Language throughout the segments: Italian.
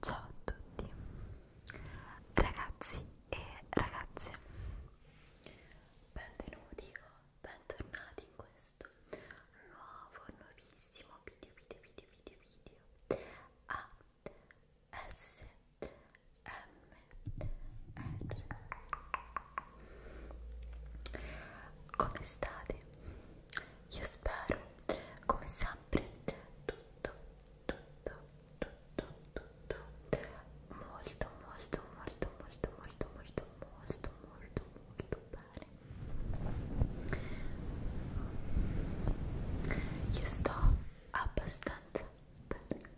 Ciao a tutti ragazzi e ragazze benvenuti o bentornati in questo nuovo nuovissimo video video video video video a S M R come state? Io spero, come sempre, tutto, tutto, tutto, tutto molto, molto, molto, molto, molto, molto, molto, molto, molto bene. Io sto abbastanza bene.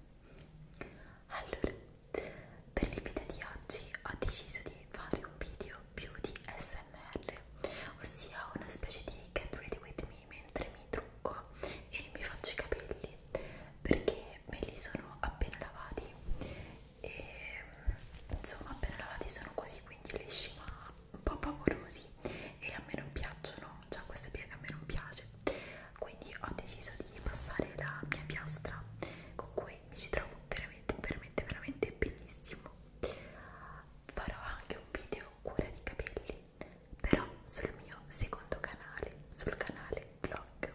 Allora per l'epita di oggi ho deciso di fare un video più di SMR, ossia una specie di get ready with me mentre mi trucco e mi faccio i capelli, perché me li sono appena lavati e insomma appena lavati sono così quindi lisci ma un po' paurosi e a me non piacciono, cioè questa piega a me non piace quindi ho deciso di passare la mia piastra con cui me mi ci trovo veramente veramente veramente benissimo farò anche un video cura di capelli però sul mio secondo canale sul canale vlog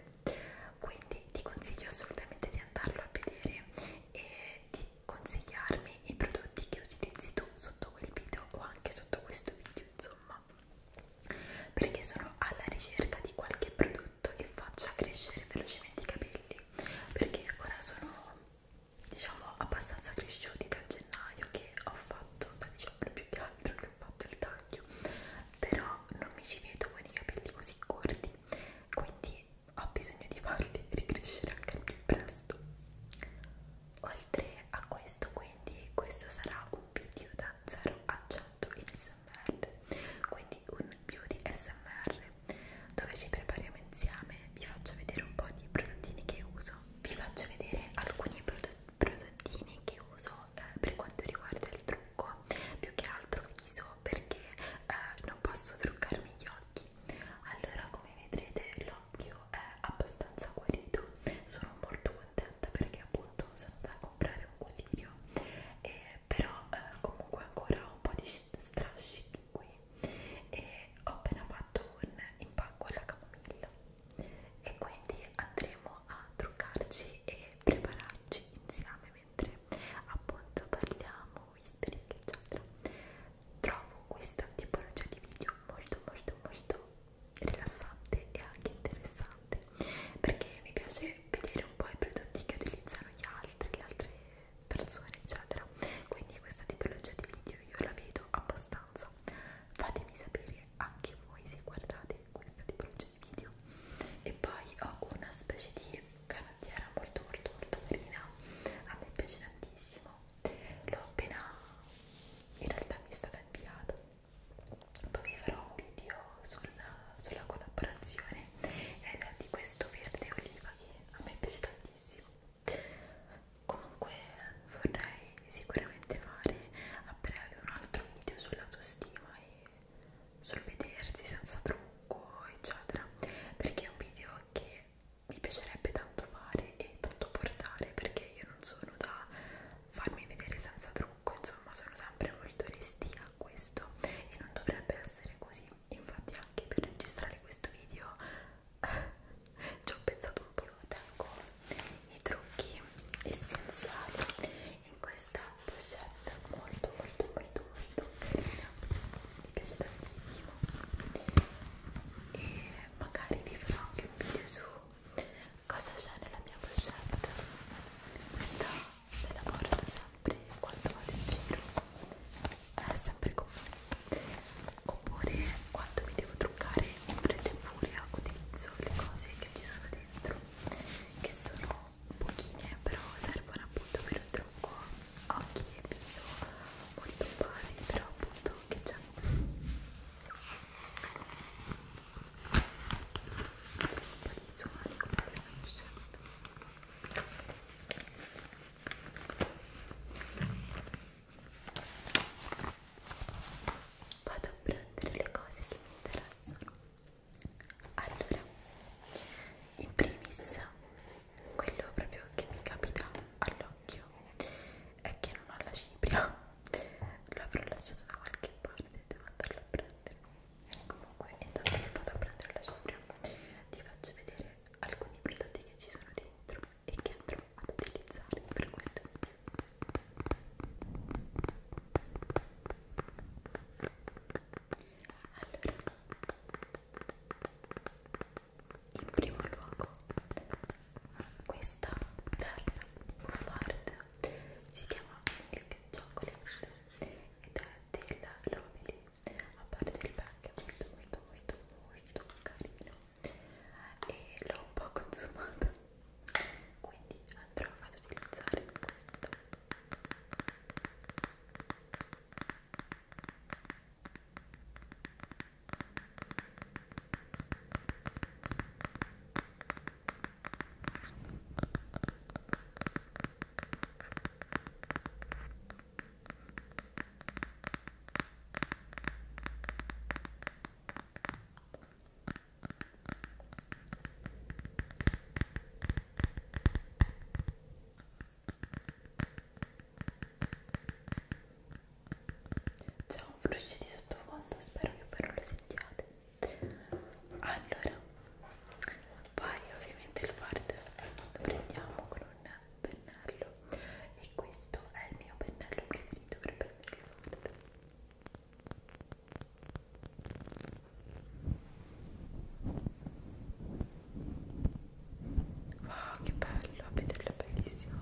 quindi ti consiglio assolutamente di andarlo a vedere e di consigliarmi i prodotti che utilizzi tu sotto quel video o anche sotto questo video insomma perché sono alla ricerca di qualche prodotto prodotto che faccia crescere velocemente i capelli perché ora sono diciamo abbastanza cresciuti dal gennaio che ho fatto da dicembre più che altro che ho fatto il taglio però non mi ci vedo con i capelli così corti quindi ho bisogno di farli ricrescere anche più presto oltre a questo quindi questo sarà un video da 0 a 100 in smr quindi e un beauty smr dove ci prepariamo insieme vi faccio vedere un po' di prodottini che uso vi faccio vedere alcuni prodottini che uso eh, per quanto riguarda il trucco più che altro viso perché eh, non posso truccarmi gli occhi allora come vedrete l'occhio è abbastanza guarito sono molto contenta perché appunto sono da comprare un collirio eh, però eh, comunque ancora ho un po' di strascichi qui e ho appena fatto un impacco alla camomilla e quindi andremo a truccarci e prepararci insieme mentre appunto parliamo whispering eccetera trovo questa tipologia di video molto molto molto rilassante e anche interessante interessante perché mi piace vedere un po' i prodotti che utilizzano gli altri, le altre persone eccetera quindi questa tipologia di video io la vedo abbastanza fatemi sapere anche voi se guardate questa tipologia di video e poi ho una specie di canottiera molto molto molto carina a me piace tantissimo l'ho appena in realtà mi è stata inviata poi vi farò un video sulla, sulla collaborazione eh, di questo verde oliva che a me piace tantissimo comunque vorrei sicuramente fare a breve un altro video sull'autostima e sul vedersi senza trucco eccetera perché è un video che mi piacerebbe tanto fare e tanto portare perché io non sono da farmi vedere senza trucco, insomma sono sempre molto restia a questo e non dovrebbe essere così, infatti anche per registrare questo video ci ho pensato un po' tengo i trucchi essenziali in questa pochette molto molto molto molto carina mi piace tantissimo e magari vi farò anche un video su cosa c'è nella mia pochette questa me la porto sempre quando vado in giro è sempre con me oppure quando mi devo truccare in fretta e furia utilizzo le cose che ci sono dentro che sono pochine però servono appunto per un trucco occhi e viso molto basi però appunto che c'è un po' di suoni come stanno uscendo vado a prendere le cose che mi interessano allora in primis quello proprio che mi capita all'occhio è che non ho la cipria l'ho lasciata da qualche parte devo andarla a prendere comunque intanto che vado a prendere la sopra ti faccio vedere alcuni prodotti che ci sono dentro e che andrò ad utilizzare per questo video allora in primo luogo questa terra bombard si chiama Milk Chocolate ed è della Lovely a parte il pack è molto molto molto molto carino e l'ho un po' consumata quindi andrò ad utilizzare questo c'è un flusso di sottofondo, spero che però lo sentiate allora poi ovviamente il fard lo prendiamo con un pennello e questo è il mio pennello preferito per prendere il fard Wow, che bello, a vederlo è bellissimo.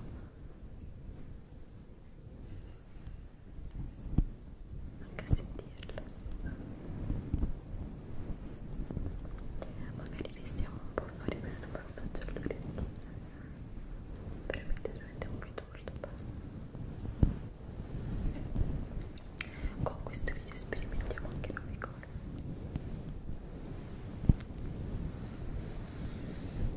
Manca a sentirlo. Magari restiamo un po' a fare questo passaggio all'orecchio. Veramente, veramente molto, molto bello. Con questo video sperimentiamo anche nuove cose.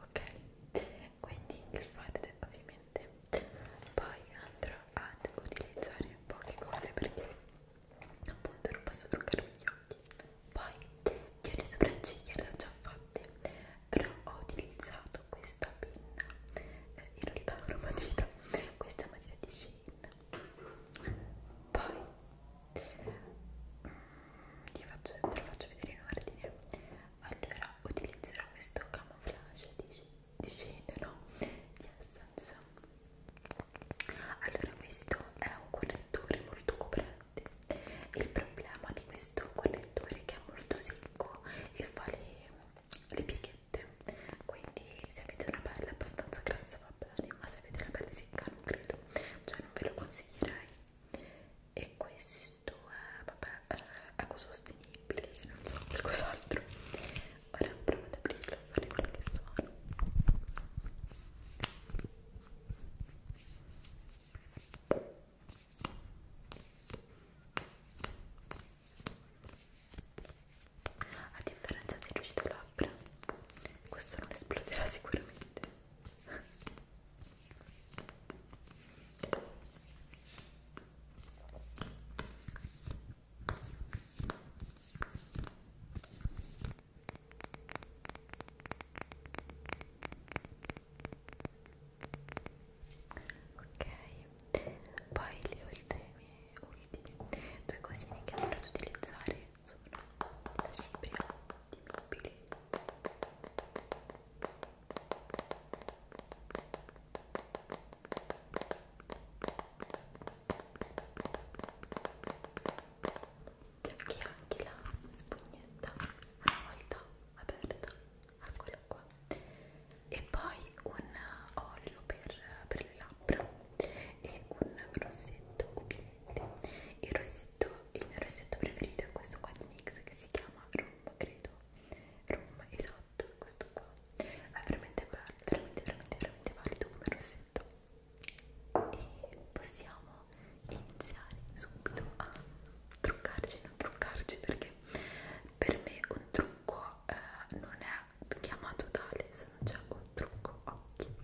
Ok, quindi il fard ovviamente poi andrò ad utilizzare poche cose perché appunto non posso truccarmi gli occhi. Poi io le sopracciglia le ho già fatte, però ho utilizzato questa penna eh, in realtà aromatita questa è la maglietta di Shane poi ti mm, faccio, te lo faccio vedere in ordine allora utilizzerò questo camouflage di, di Shane no? di Essence allora questo è un correttore molto coprente il problema di questo correttore è che è molto secco e fa le, le pieghe niente quindi se avete una pelle abbastanza grassa va bene ma se avete la pelle secca non credo cioè non ve lo consiglierei e questo è vabbè eh, è ecosostenibile non so qualcos'altro ora provo ad aprirlo e fare qualche suono a differenza del riuscito labbra questo non esploderà sicuramente ok poi le ultime, ultime due cosine che andrò ad utilizzare sono la cipria di mobili che anche la spugnetta una volta aperta eccolo qua e poi un olio per, per le labbra e un rossetto ovviamente il rossetto il mio rossetto preferito è questo qua di NYX che si chiama Room credo Room esatto questo qua è veramente bello veramente veramente veramente valido come rossetto e possiamo iniziare subito a truccarci non truccarci perché per me un trucco eh, non è chiamato tale se non c'è un trucco occhi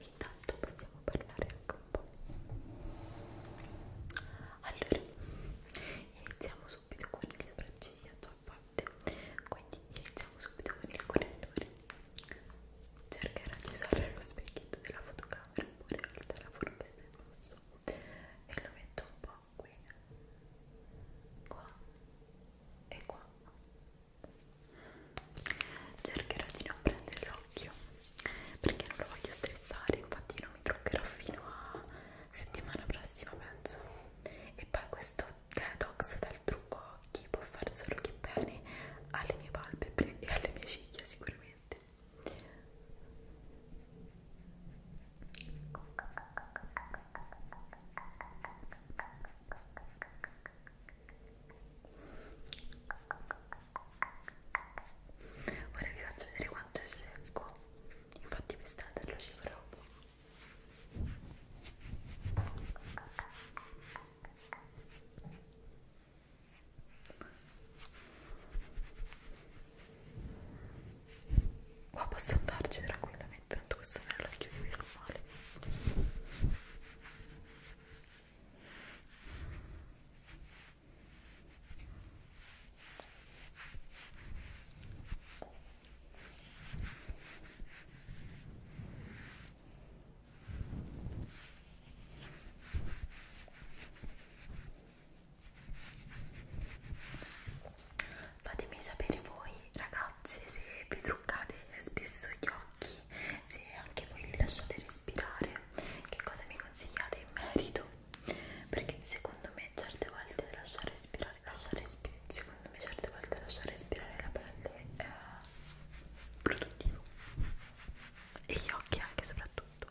intanto possiamo parlare anche un po' allora iniziamo subito con le sopracciglia già fatte quindi iniziamo subito con il correttore cercherò di usare lo specchietto della fotocamera oppure il telefono che sta in basso e lo metto un po' qui, qua e qua. Cercherò di non prendere l'occhio perché non lo voglio stressare, infatti non mi truccherò fino a settimana prossima penso. E poi questo detox dal trucco occhi può far solo che bene alle mie palpebre e alle mie ciglia sicuramente. Ora vi faccio vedere quanto è secco. Infatti quest'altro lo ci farò qua posso andarci tranquillamente tanto questo non è l'occhio di meno male ok Fatemi sapere voi ragazze se vi truccate spesso gli occhi, se anche voi li lasciate respirare, che cosa mi consigliate in merito, perché secondo me certe volte lasciare respirare, lasciare respirare, secondo me certe volte lasciare respirare la pelle è produttivo e gli occhi anche soprattutto.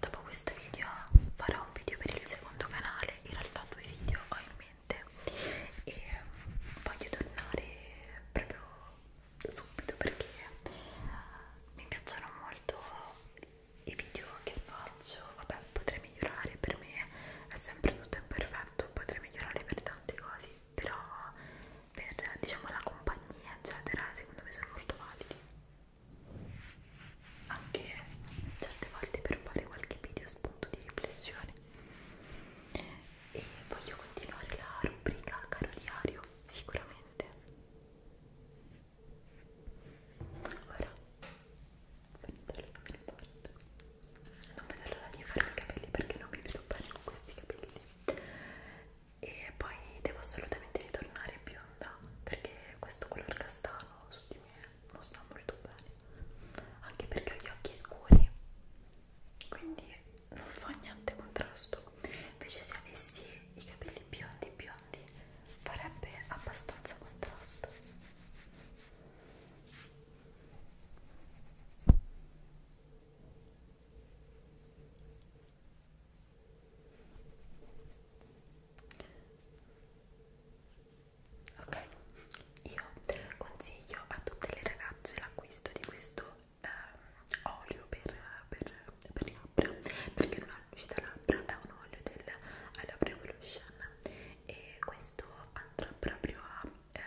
Dopo questo video farò un video per il secondo canale, in realtà due video ho in mente e ehm, voglio tornare proprio subito perché eh, mi piacciono molto i video che faccio, vabbè potrei migliorare per me è sempre tutto imperfetto, potrei migliorare per tante cose però per diciamo la compagnia eccetera secondo me sono molto validi anche certe volte per fare qualche video spunto di riflessione e voglio continuare la rubrica caro diario sicuramente ora metterlo in porto non vedo l'ora di fare i capelli perché non mi vedo bene con questi capelli e poi devo assolutamente ritornare bionda perché questo color castano su di me non sta molto bene anche perché ho gli occhi scuri quindi non fa niente contrasto invece se avessi i capelli biondi biondi farebbe abbastanza contrasto Ok, io consiglio a tutte le ragazze l'acquisto di questo eh, olio per, per, per labbra perché non ha luce da labbra, è un olio del Lab Revolution e questo andrà proprio a eh,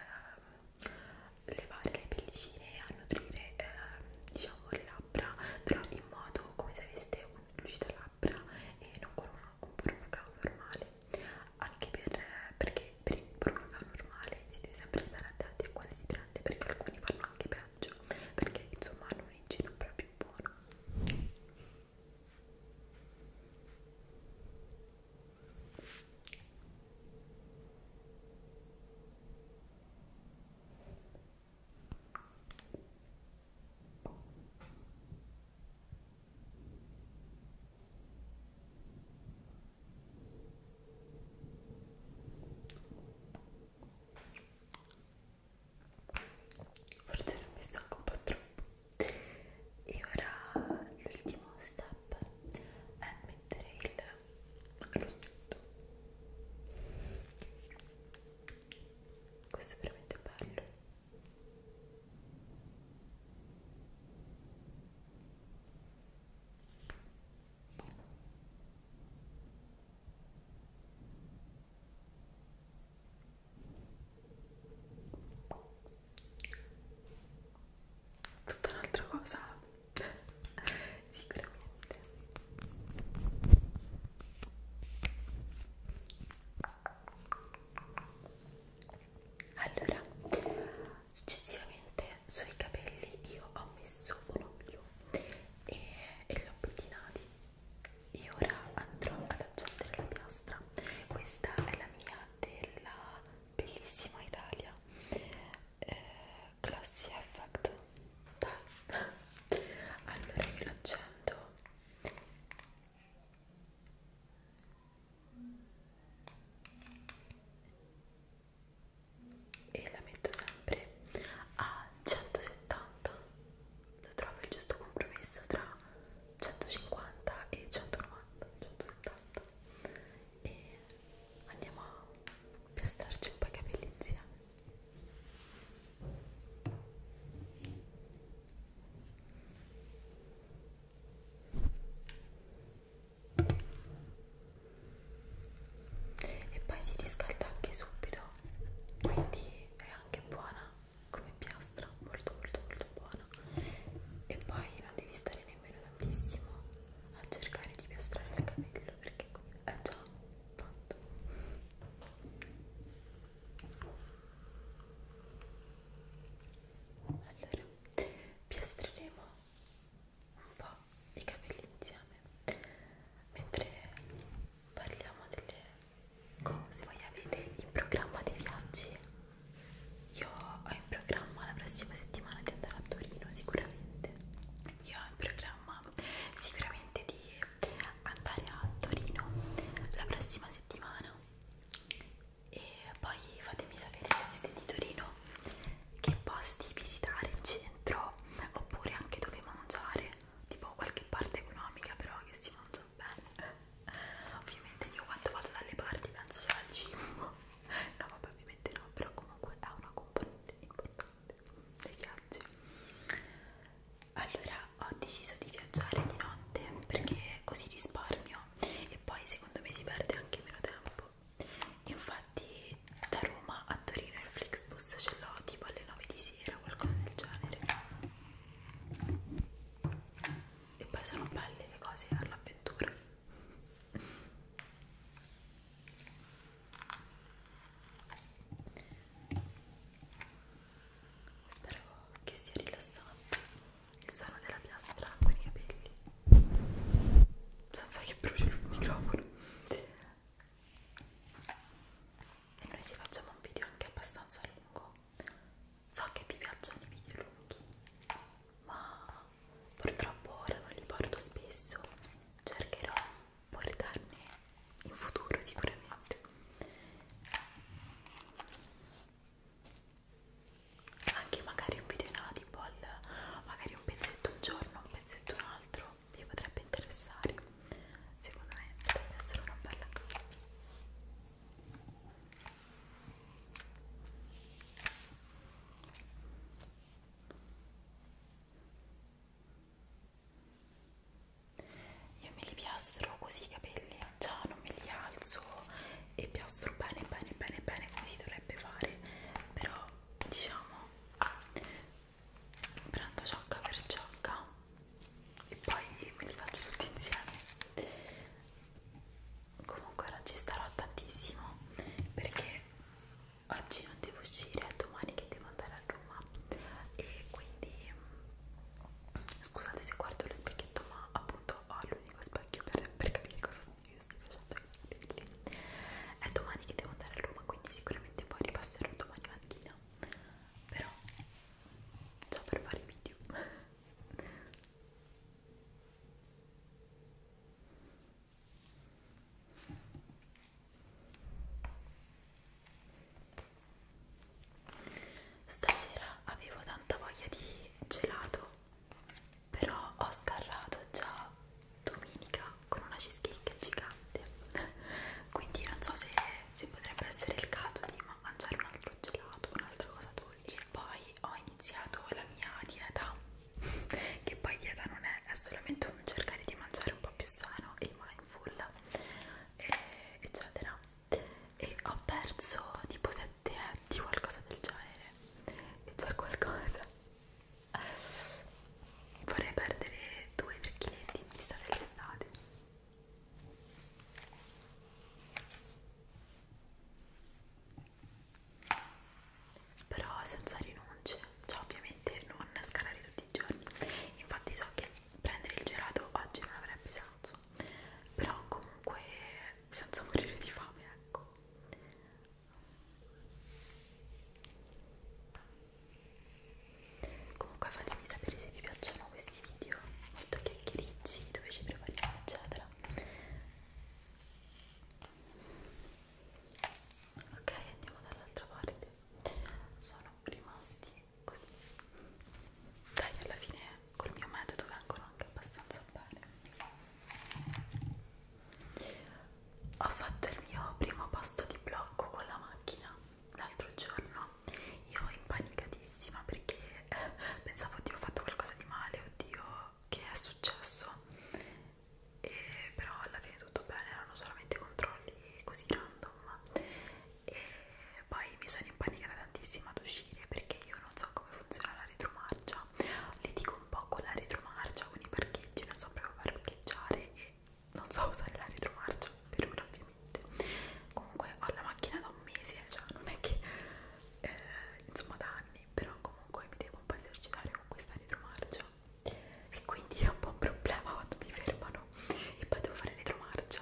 levare le pellicine a nutrire eh, diciamo le labbra però in modo come se aveste un lucida labbra e non con una, un burro cacao normale anche per, perché per il burro cacao normale si deve sempre stare attenti a quale si prende perché alcuni fanno anche peggio perché insomma hanno un igiene proprio buono Forse l'ho messo anche un po' troppo e ora l'ultimo step è mettere il rossetto questo è veramente bello tutta un'altra cosa sicuramente allora successivamente sui capelli io ho messo un olio e, e li ho pettinati e ora andrò ad accendere la piastra questa è la mia della bellissima Italia eh, Classy Effect Dai. allora io lo accendo e la metto sempre a 170 lo trovo il giusto compromesso tra 150 e 190 170 e andiamo a piastrarci un po' i capelli insieme e poi si riscalda anche subito quindi è anche buona come piastra nostra molto molto molto buona e poi non devi stare nemmeno tantissimo a cercare di piastrare il capello perché è già fatto allora piastreremo un po' i capelli insieme mentre parliamo delle cose voi avete in programma dei viaggi io ho in programma la prossima settimana di andare a Torino sicuramente. Io ho in programma sicuramente di andare a Torino la prossima settimana. E poi fatemi sapere se siete di Torino che posti visitare in centro oppure anche dove mangiare, tipo qualche parte economica però che si mangia bene ovviamente io quando vado dalle parti penso solo al cibo no vabbè ovviamente no però comunque è una componente importante dei viaggi allora ho deciso di viaggiare di notte perché così risparmio e poi secondo me si perde anche meno tempo infatti da Roma a Torino il Flixbus ce l'ho tipo alle 9 di sera qualcosa del genere e poi sono belle le cose per l'avventura spero che sia rilassante il suono della piastra con i capelli senza che bruci il microfono e noi ci facciamo un video anche abbastanza lungo so che vi piacciono i video lunghi ma purtroppo ora non li porto spesso cercherò di portarne in futuro sicuramente anche magari un video in audible magari un pezzetto un giorno un pezzetto un altro vi potrebbe interessare secondo me potrebbe essere una bella cosa io me li piastro così i capelli, già non me li alzo e piastro bene bene bene bene come si dovrebbe fare, però diciamo prendo ciocca per ciocca e poi me li faccio tutti insieme comunque non ci starò tantissimo perché oggi non devo uscire è domani che devo andare a Roma e quindi mm, scusate se guardo lo specchietto ma appunto ho l'unico specchio per, per capire cosa io sto facendo è domani che devo andare a Roma quindi sicuramente poi ripasserò domani mattina però già per fare video Stasera avevo tanta voglia di gelato, però ho scarrato già domenica con una cheesecake gigante. Quindi non so se, se potrebbe essere il caso di mangiare un altro gelato, un'altra cosa dolce poi ho iniziato la mia dieta che poi dieta non è, è solamente un cercare di mangiare un po' più sano e mindful e, eccetera e ho perso tipo 7 etti qualcosa del genere e c'è qualcosa vorrei perdere 2-3 kg in vista dell'estate però senza rinunce cioè ovviamente non scalare tutti i giorni infatti so che prendere il gelato oggi non avrebbe senso però comunque senza morire di fame ecco comunque fatemi sapere se vi piacciono facciamo questi video molto chiacchiericci dove ci prepariamo eccetera ok andiamo dall'altra parte sono rimasti così dai alla fine col mio metodo vengono anche abbastanza bene ho fatto il mio primo pasto di blocco con la macchina l'altro giorno realtà io impanicatissima perché eh, pensavo oddio ho fatto qualcosa di male, oddio che è successo e, però alla fine tutto bene, erano solamente controlli così random e poi mi sono impanicata tantissimo ad uscire perché io non so come funziona la retromarcia litigo un po' con la retromarcia, con i parcheggi, non so proprio parcheggiare e non so usare la retromarcia per ora niente comunque ho la macchina da un mese cioè non è che eh, insomma da anni però comunque mi devo un po' esercitare con questa retromarcia e quindi è un po' un problema quando mi fermano e poi devo fare retromarcia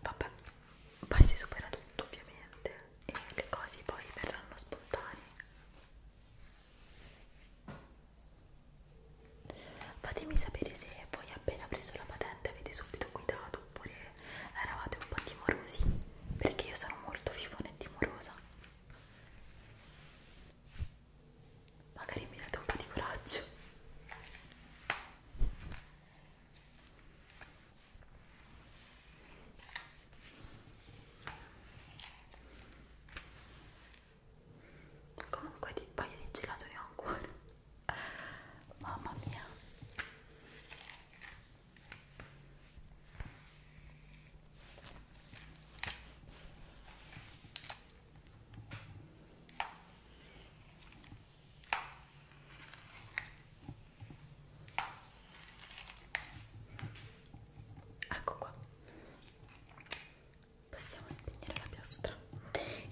vabbè poi si supera tutto ovviamente e le cose poi verranno spontanee Fatemi sapere se voi appena preso la patente avete subito guidato oppure eravate un po' timorosi, perché io sono molto fifone e timorosa. Magari mi date un po' di coraggio. Comunque di paio di gelato ne ho ancora mamma mia Ecco qua possiamo spegnere la piastra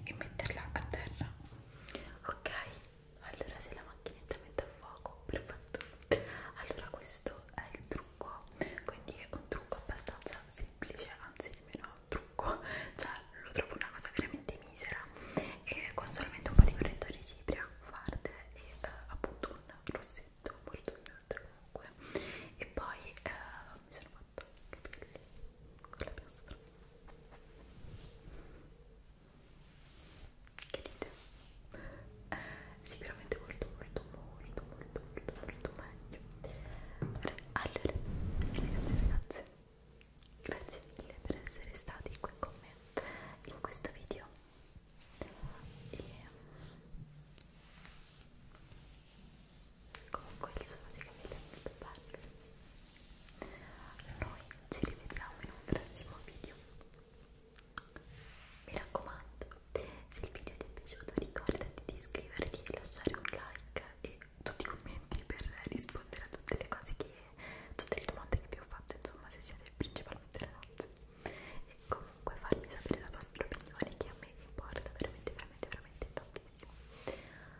e metterla a terra ok allora se la macchinetta mette a fuoco perfetto allora questo è il trucco quindi è un trucco abbastanza semplice anzi nemmeno trucco cioè lo trovo una cosa veramente misera e con solamente un po' di correttore cipria farde e eh, appunto un rossetto molto neutro comunque e poi eh, mi sono fatta fatto i capelli con la piastra che dite? Eh, sicuramente molto molto molto molto molto molto meglio allora ragazzi ragazze grazie mille per essere stati qui con me in questo video e comunque il suono dei capelli è molto bello noi ci rivediamo in un prossimo video mi raccomando se il video ti è piaciuto ricordati di iscriverti e lasciare un like e tutti i commenti per rispondere a tutte le cose che tutte le domande che vi ho fatto insomma se siete principalmente ragazze e comunque farmi sapere la vostra opinione che a me importa veramente veramente veramente tantissimo